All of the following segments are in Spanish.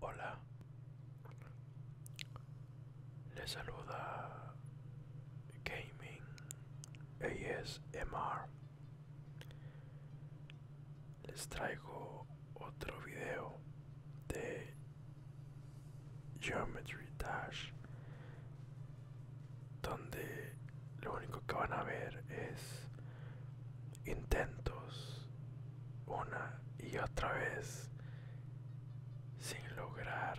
Hola, les saluda Gaming ASMR. Les traigo otro video de Geometry Dash donde lo único que van a ver es intentos una y otra vez sin lograr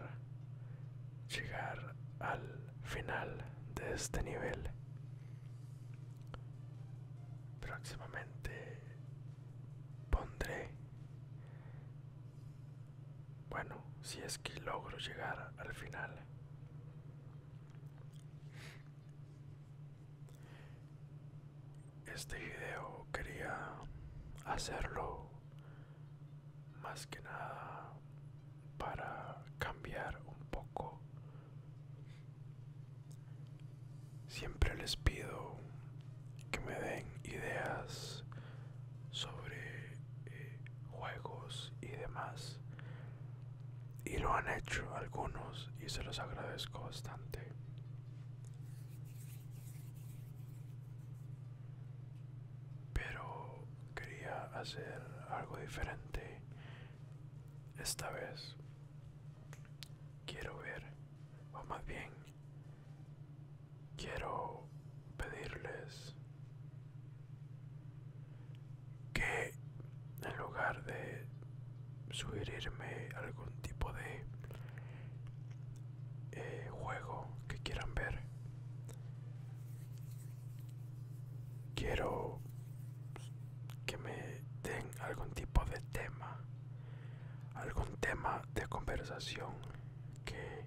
llegar al final de este nivel próximamente pondré bueno si es que logro llegar al final este video quería hacerlo más que nada para cambiar un poco. Siempre les pido que me den ideas sobre eh, juegos y demás y lo han hecho algunos y se los agradezco bastante pero quería hacer algo diferente esta vez quiero ver o más bien quiero pedirles que en lugar de sugerirme algún tipo de eh, juego que quieran ver quiero que me den algún tipo de tema algún tema de conversación que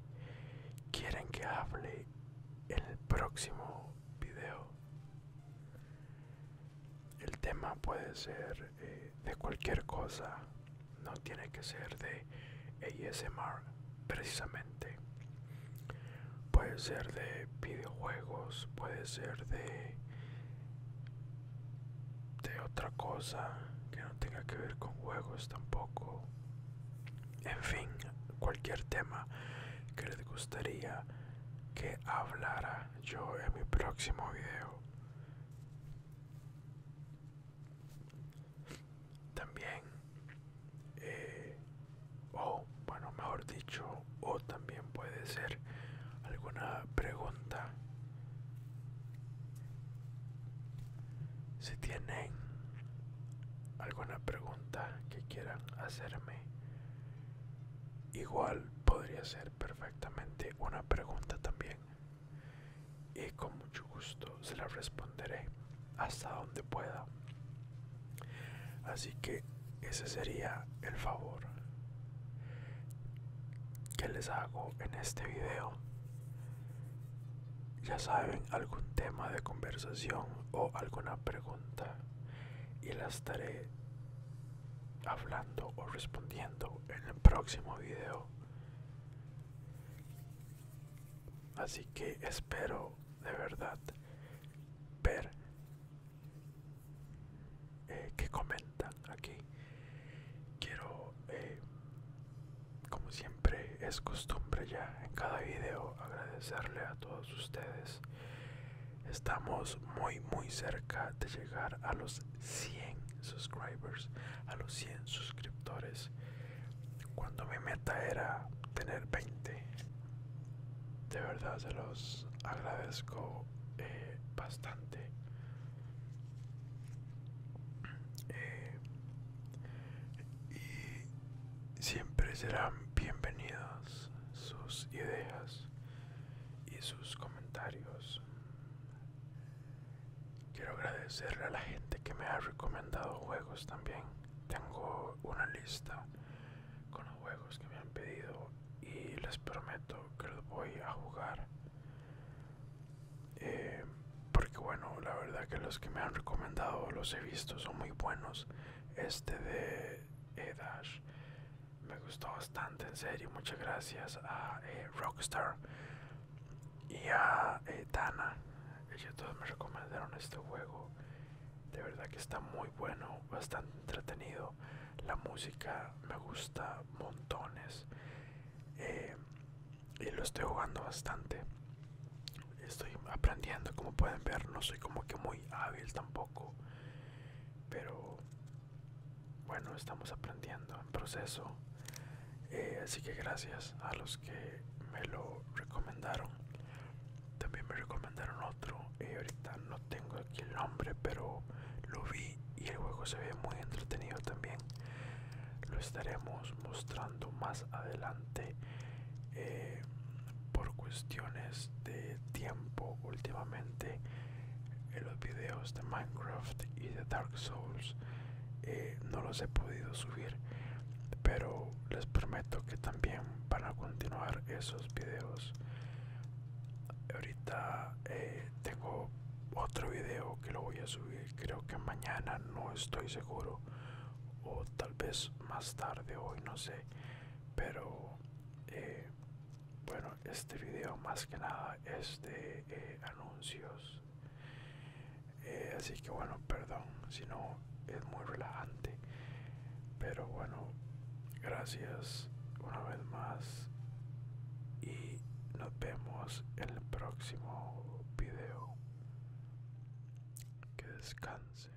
quieren que hable el próximo video. El tema puede ser eh, de cualquier cosa, no tiene que ser de ASMR precisamente. Puede ser de videojuegos, puede ser de de otra cosa que no tenga que ver con juegos tampoco en fin, cualquier tema que les gustaría que hablara yo en mi próximo video. También, eh, o bueno, mejor dicho, o también puede ser alguna pregunta si tienen alguna pregunta que quieran hacerme, igual podría ser perfectamente una pregunta también. Y con mucho gusto se la responderé hasta donde pueda. Así que ese sería el favor que les hago en este video. Ya saben, algún tema de conversación o alguna pregunta y la estaré hablando o respondiendo en el próximo video. Así que espero de verdad ver eh, que comentan aquí. Quiero eh, como siempre es costumbre ya en cada video agradecerle a todos ustedes. Estamos muy muy cerca de llegar a los 100 subscribers, a los 100 suscriptores. Cuando mi meta era tener 20. De verdad se los agradezco eh, bastante eh, y siempre serán bienvenidas sus ideas y sus comentarios. Quiero agradecerle a la gente que me ha recomendado juegos también. Tengo una lista con los juegos que me han pedido y les prometo que los voy a jugar. Eh, porque bueno la verdad que los que me han recomendado los he visto son muy buenos este de eh, me gustó bastante en serio muchas gracias a eh, Rockstar y a Dana ellos todos me recomendaron este juego de verdad que está muy bueno bastante entretenido la música me gusta montones eh, y lo estoy jugando bastante estoy aprendiendo como pueden ver no soy como que muy hábil tampoco pero bueno estamos aprendiendo en proceso eh, así que gracias a los que me lo recomendaron también me recomendaron otro y eh, ahorita no tengo el nombre, pero lo vi y el juego se ve muy entretenido también. Lo estaremos mostrando más adelante eh, por cuestiones de tiempo. Últimamente en los videos de Minecraft y de Dark Souls eh, no los he podido subir, pero les prometo que también van a continuar esos videos ahorita eh, tengo otro video que lo voy a subir creo que mañana no estoy seguro o tal vez más tarde hoy no sé pero eh, bueno este video más que nada es de eh, anuncios así que bueno perdón si no es muy relajante pero bueno Gracias una vez más y nos vemos en el próximo video. Que descanse.